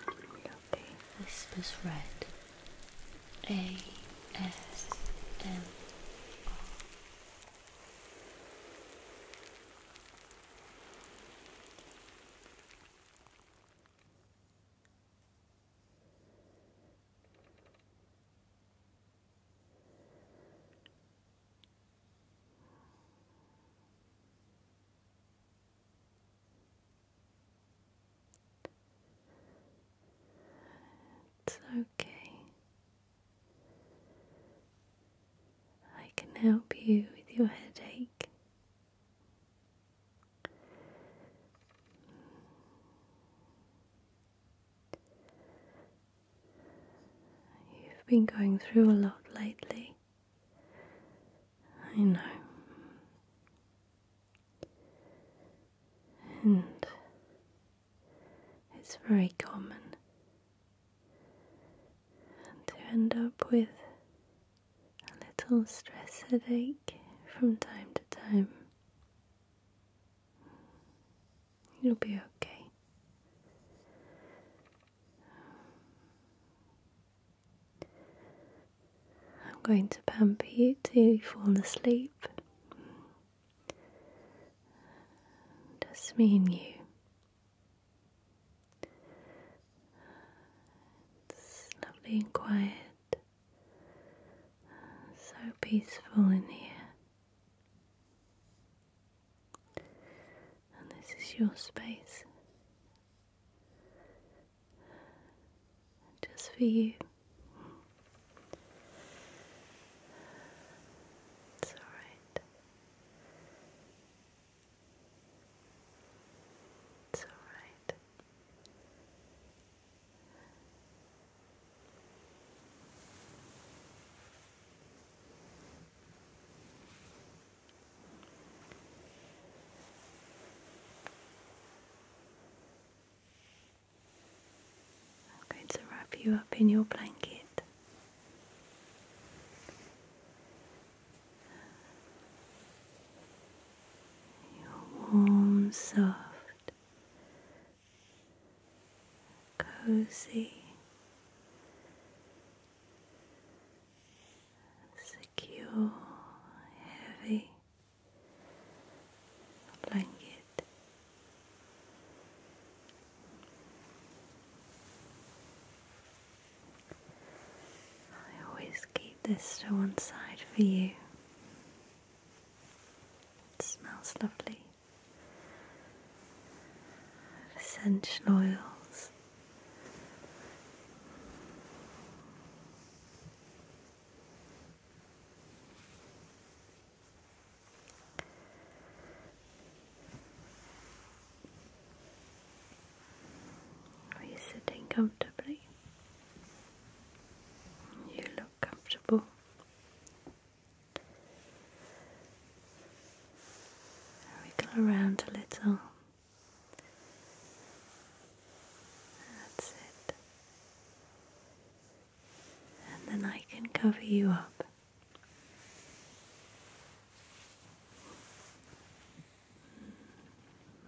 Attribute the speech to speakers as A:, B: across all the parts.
A: Okay, whispers red. A S M. It's okay. I can help you with your headache. You've been going through a lot lately. I know. And it's very common to end up with a little stress headache from time to time. It'll be okay. I'm going to pamper you till you fall asleep. Just me and you. It's lovely and quiet. So peaceful in here. And this is your space. Just for you. It's alright. It's alright. I'm going to wrap you up in your blanket. Your warm, soft, cozy, secure, heavy blanket. I always keep this to one side for you. It smells lovely. Essential oils. Are you sitting comfortably? You look comfortable. Wiggle around a little. That's it. And then I can cover you up.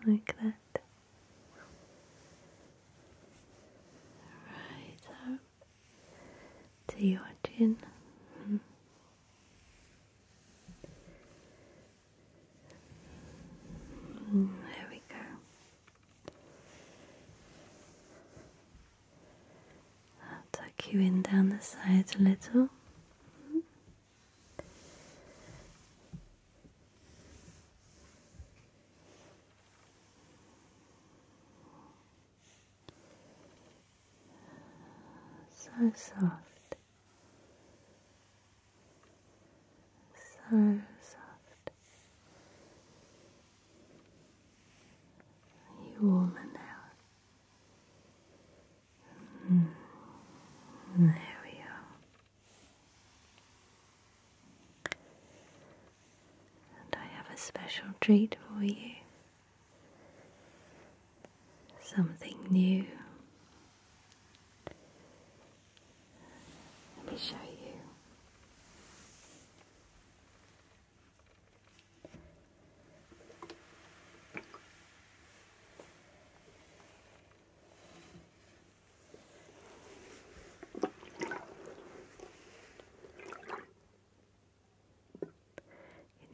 A: Like that right up to your chin. there we go. I'll tuck you in down the sides a little. So soft, so soft. Are you now? Mm. There we are. And I have a special treat for you. Something new. Let me show you.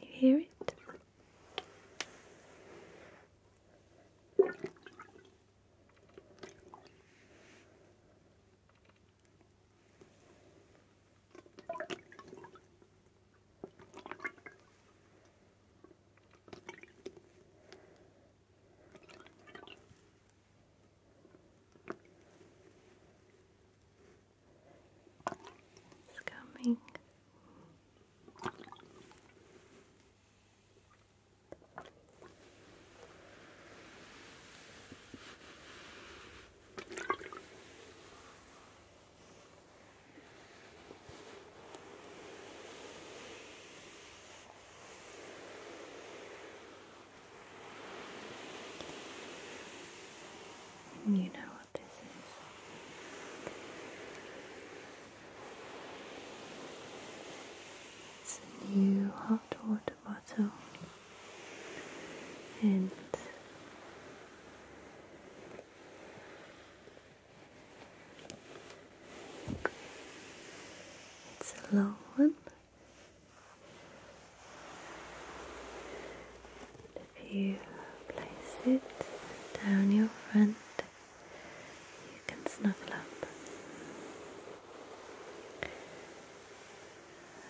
A: Can you hear it? It's coming you know what this is. It's a new hot water bottle, and it's a long one. if you place it down your front, you can snuggle up.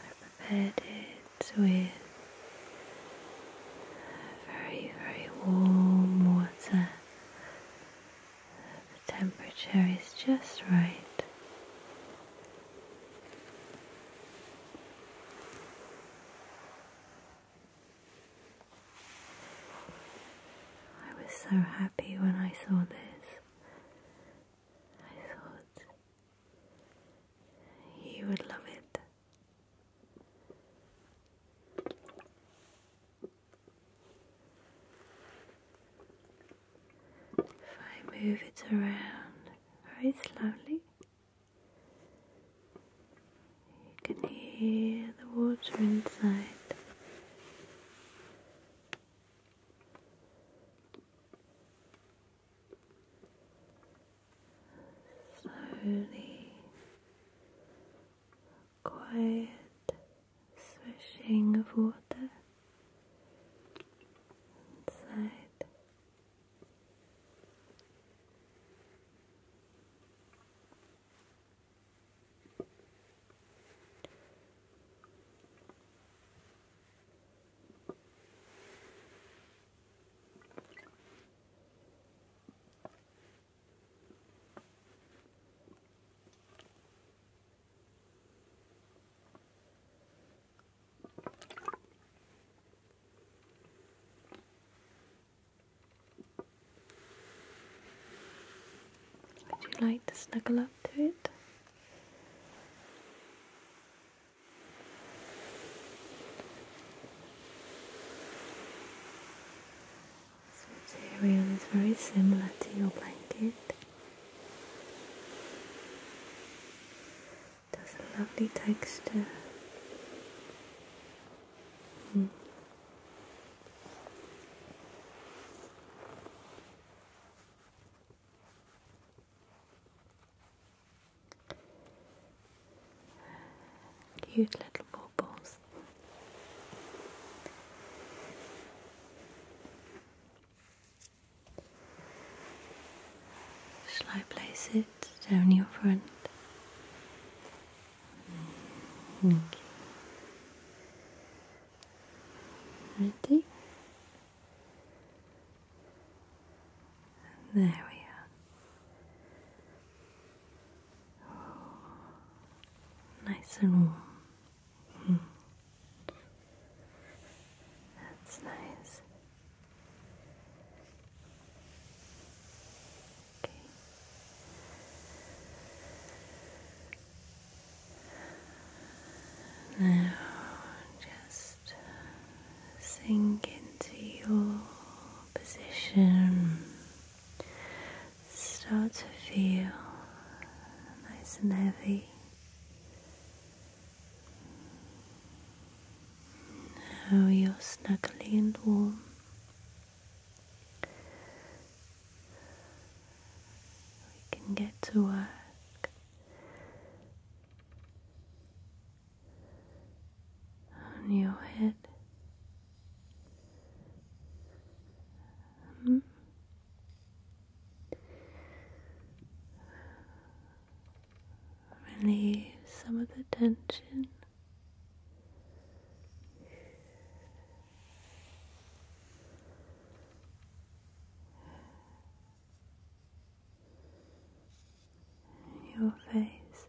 A: I prepared it with very, very warm water the temperature is just right. I was so happy when I saw this. I thought he would love it. If I move it around very slowly, you can hear the water inside. Slowly, quiet swishing of water inside. Would you like to snuggle up to it? This material is very similar to your blanket. It has a lovely texture. Hmm. Cute little baubles. Shall I place it down your front? Ready? There we are. Nice and warm. Hmm. That's nice. Okay. Now just sink into your position start to feel nice and heavy. Now you're snuggly and warm. We can get to work on your head Relieve some of the tension. Your face,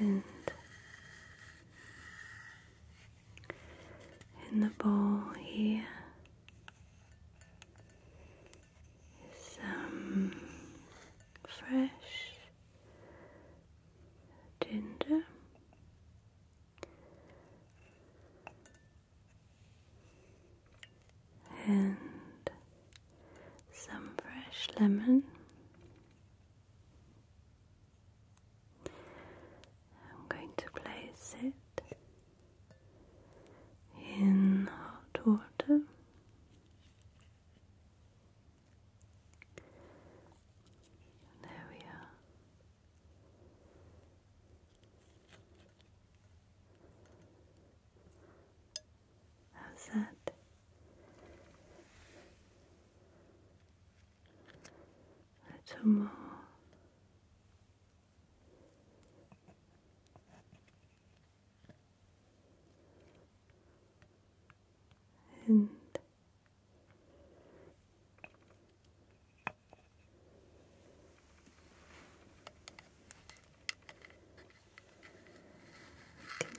A: and in the bowl here is some fresh ginger. And some fresh lemon, I'm going to place it in hot water. There we are. How's that? Two more. And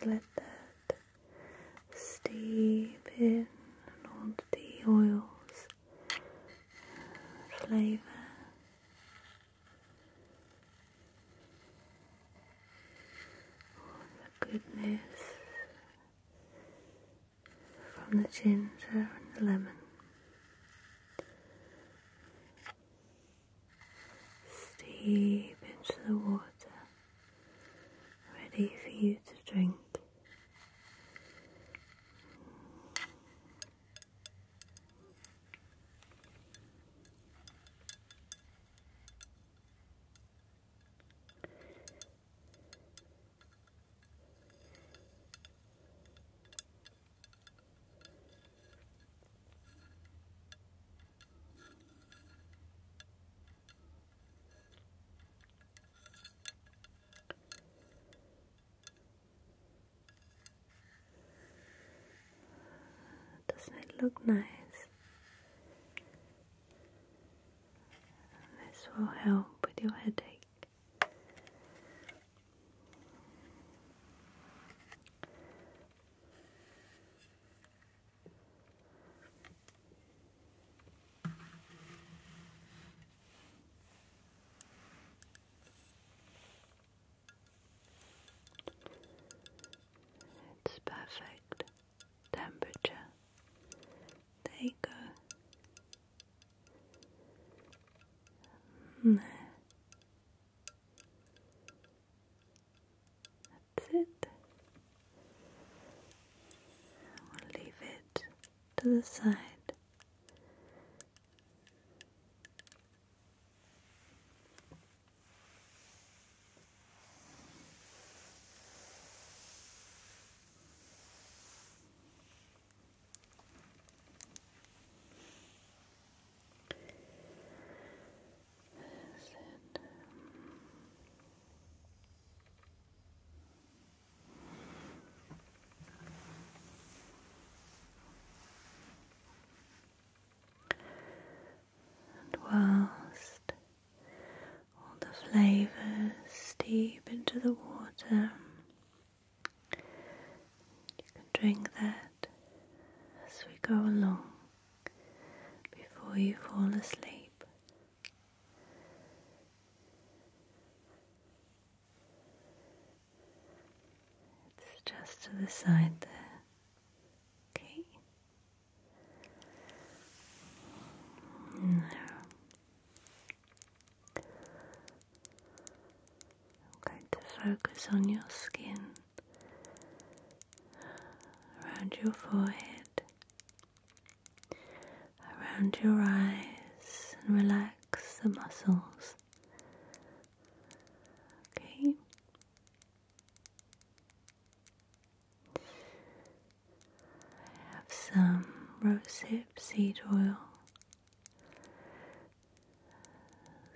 A: let that steep in all the oils flavor all the goodness from the ginger and the lemon steep into the water ready for you to drink. Doesn't it look nice? This will help with your headache. It's perfect temperature. There you go. Mm, there. That's it. We'll leave it to the side. And whilst all the flavours steep into the water, you can drink that as we go along before you fall asleep. It's just to the side there. Okay. There. I'm going to focus on your skin around your forehead, around your eyes, and relax the muscles. Okay. I have some rosehip seed oil.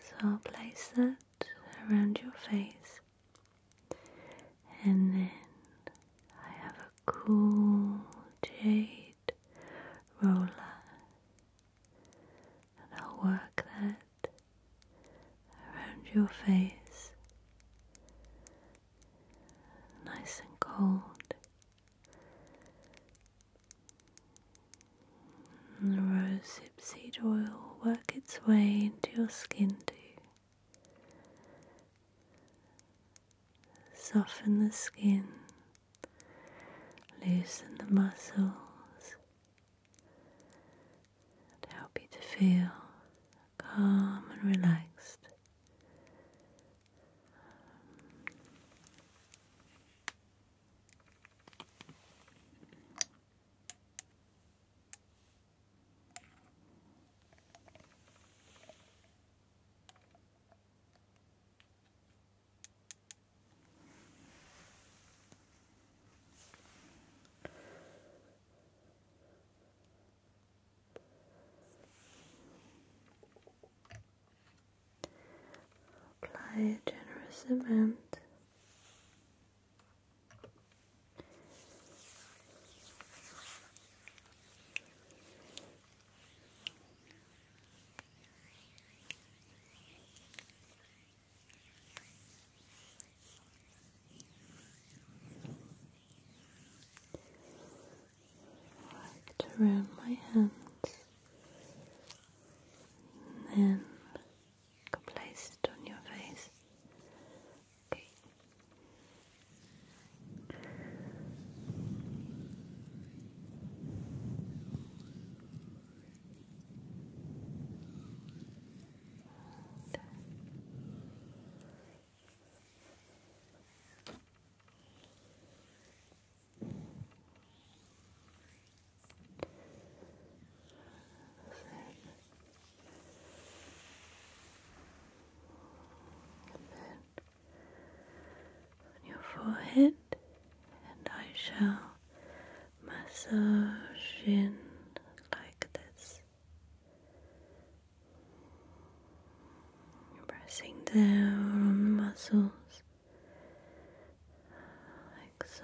A: So I'll place that around your face and then I have a cool jade roller. And I'll work that around your face. Nice and cold. And the Seed oil work its way into your skin too. Soften the skin, loosen the muscles, and help you to feel calm and relaxed. Apply a generous amount Wrapped around my hands, and then place it on your face. Okay. And on your forehead, and I shall massage in like this. Pressing down on the muscles like so.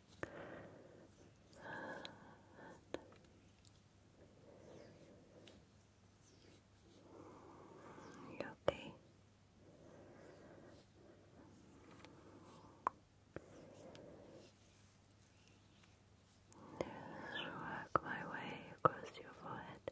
A: You okay? Just work my way across your forehead.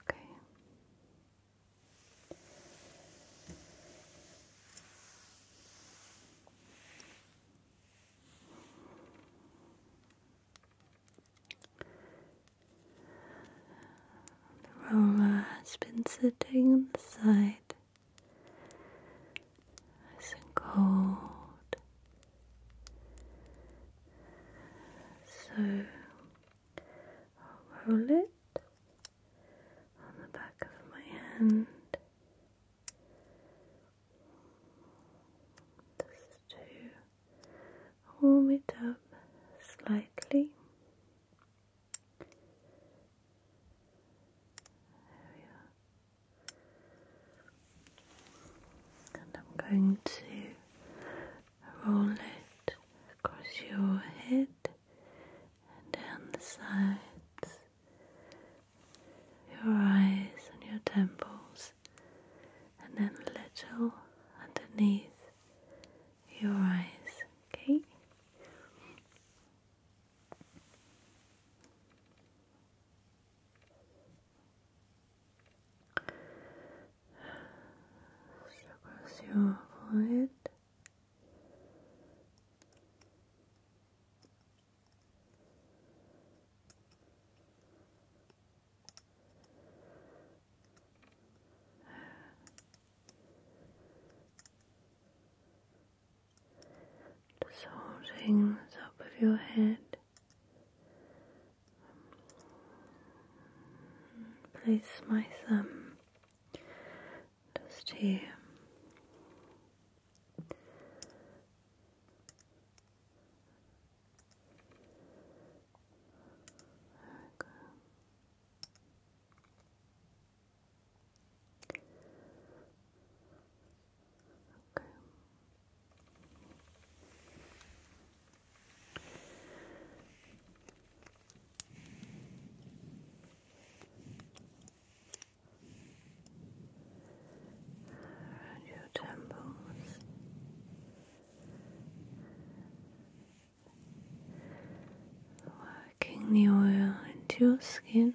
A: Okay. The roller has been sitting on the side it's and cold. So I'll roll it on the back of my hand. Just to warm it up slightly. There we are. And I'm going to roll it across your head and down the sides, your eyes and your temples, and then a little underneath your eyes, okay? Just across your forehead. Just holding the top of your head. Place my thumb just here. There Around your temples, working the oil into your skin.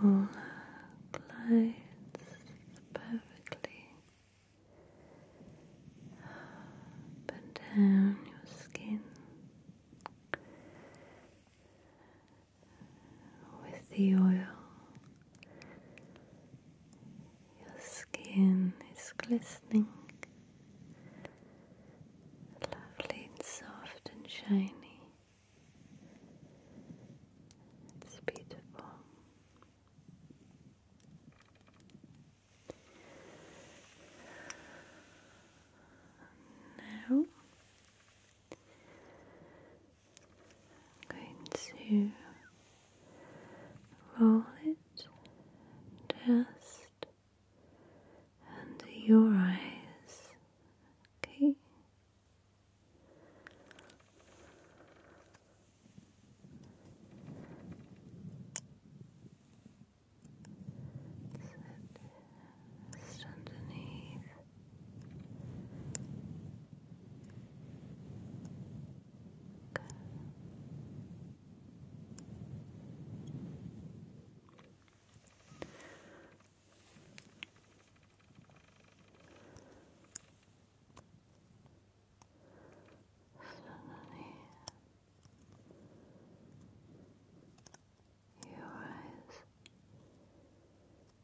A: roller glides perfectly up and down your skin with the oil. Your skin is glistening, lovely and soft and shiny. It's beautiful. Now going to roll it just under your eyes, okay. Just underneath Suddenly, your eyes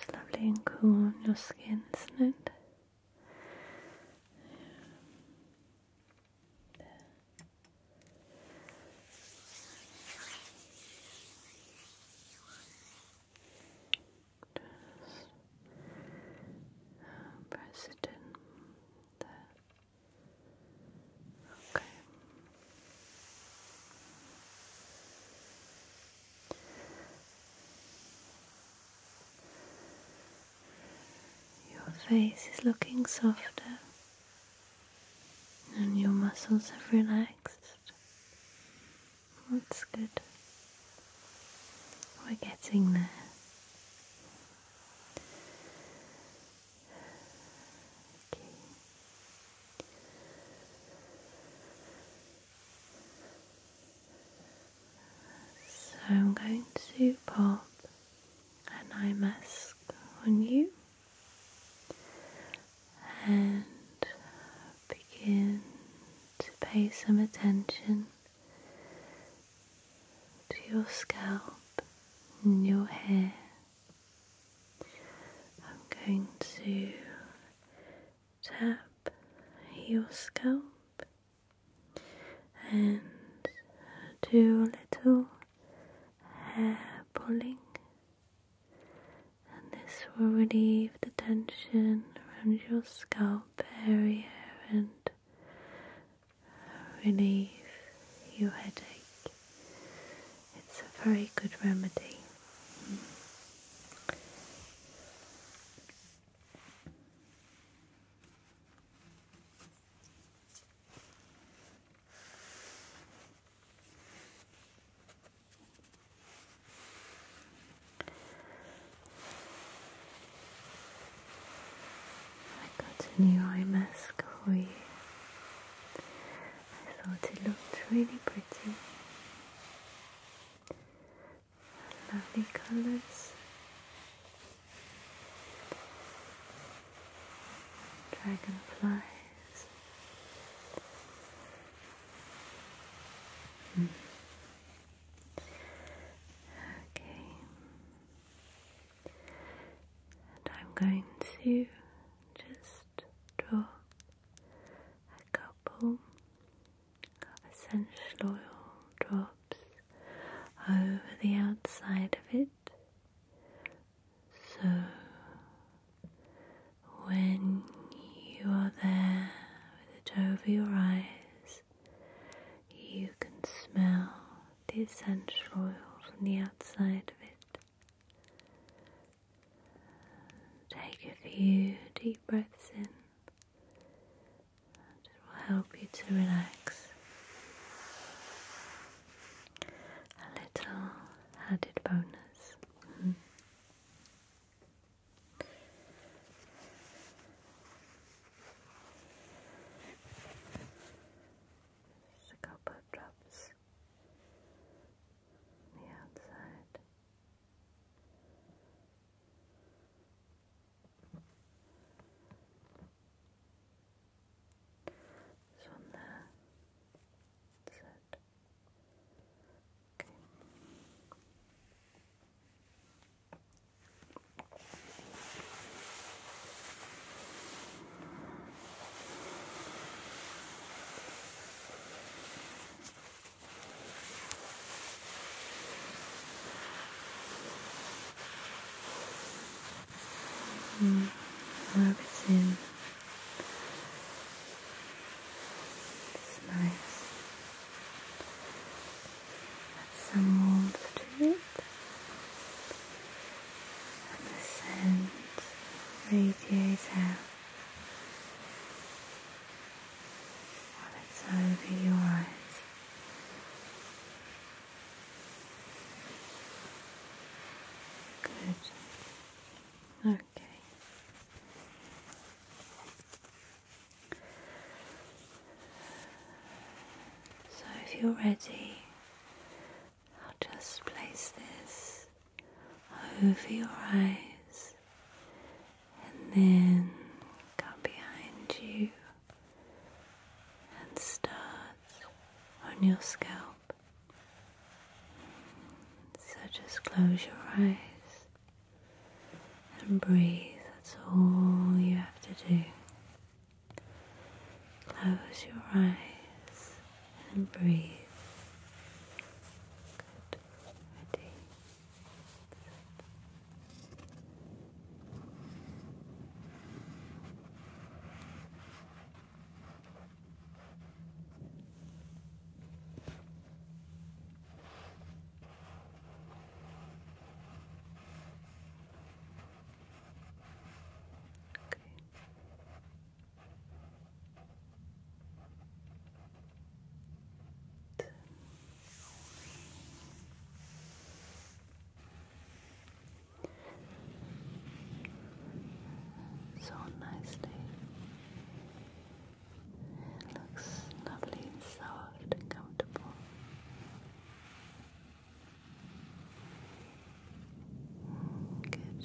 A: It's lovely and cool on your skin, isn't it? Just um, press Okay. Your face is looking softer and your muscles have relaxed. That's good. We're getting there. So I'm going to pop an eye mask on you and begin to pay some attention to your scalp and your hair. I'm going to tap your scalp and do a little hair pulling and this will relieve the tension around your scalp scalp area and relieve your headache. It's a very good remedy. I got a new eye mask for you. I thought it looked really pretty. Lovely colours. Dragonflies. Mm. Okay. And I'm going to just draw a couple of essential oil drops over the outside of it. So when you are there with it over your eyes, you can smell the essential oil from the outside of it. Take a few deep breaths in, and it will help you to relax. A little added bonus. Mm-hmm. Just a couple drops on the outside. This one there. That's it. Mm, rub it in. It's nice. Add some warmth to it, and the scent radiates out while it's over your eyes. Good. Okay. So, if you're ready, I'll just place this over your eyes and then come behind you and start on your scalp. So, just close your eyes and breathe. That's all you have to do. Close your eyes and breathe. Good. Ready. Okay. So nicely it looks lovely and soft and comfortable. Good.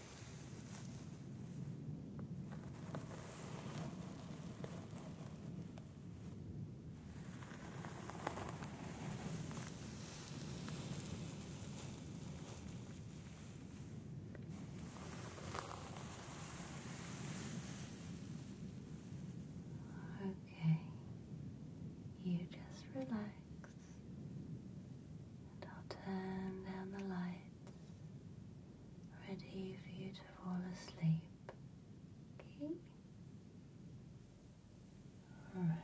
A: Okay, you just relax. And I'll turn down the lights ready for you to fall asleep. Okay? Alright.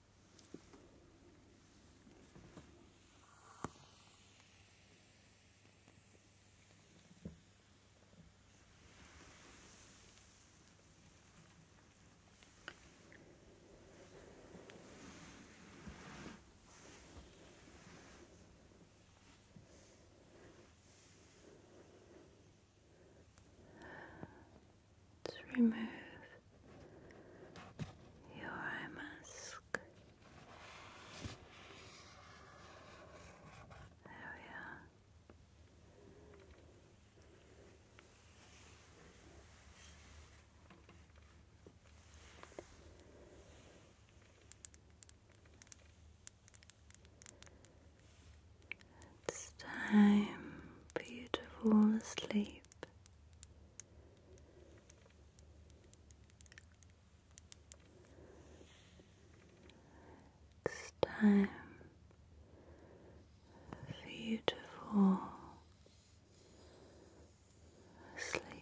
A: Let's remove your eye mask. There It's time for you to fall asleep. It's time for you to fall asleep.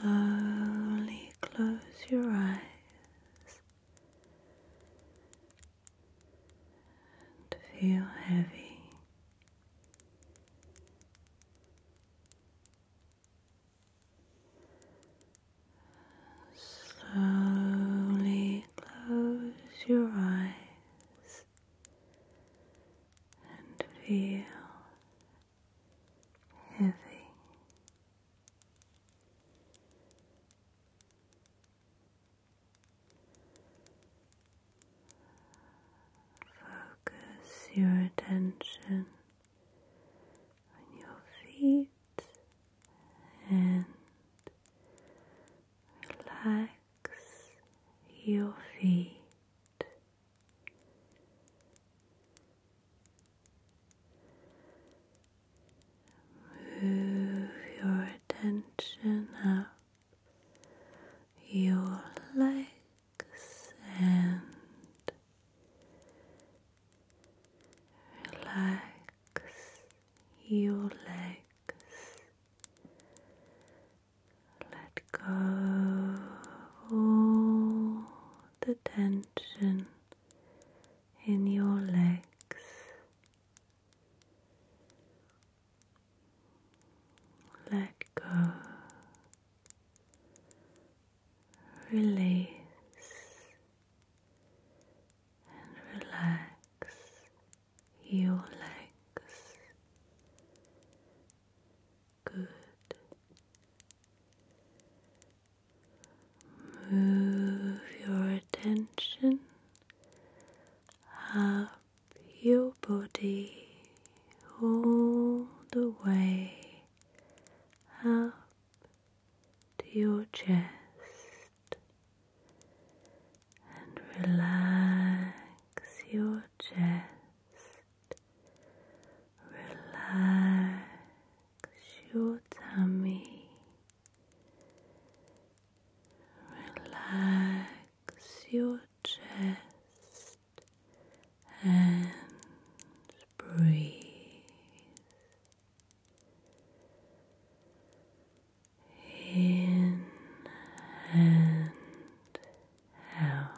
A: Slowly close your eyes and feel heavy Slowly close your eyes and feel heavy. Focus your attention on your feet and relax your feet. Move your attention up your legs and relax your legs. Let go all the tension in your legs. Let go. Release and relax your legs. Good. Move your attention up your body all the way up to your chest and relax your chest, relax your tummy, relax your chest and breathe. In and out.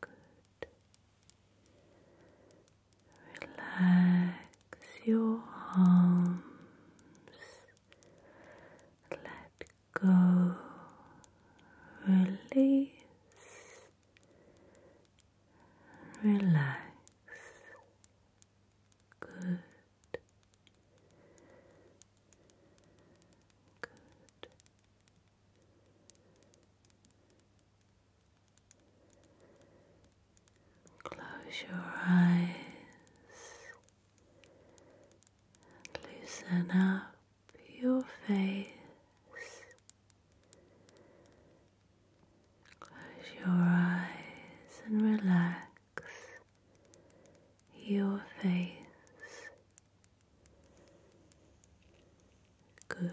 A: Good. Relax your arms let go, release, relax. Good. Good. Close your eyes and loosen up your face. Close your eyes and relax your face. Good.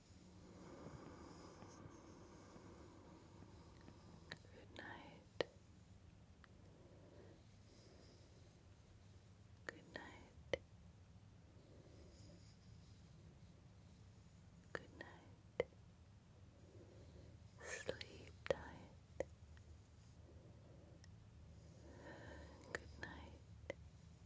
A: Good night. Good night. Good night. Sleep tight. Good night.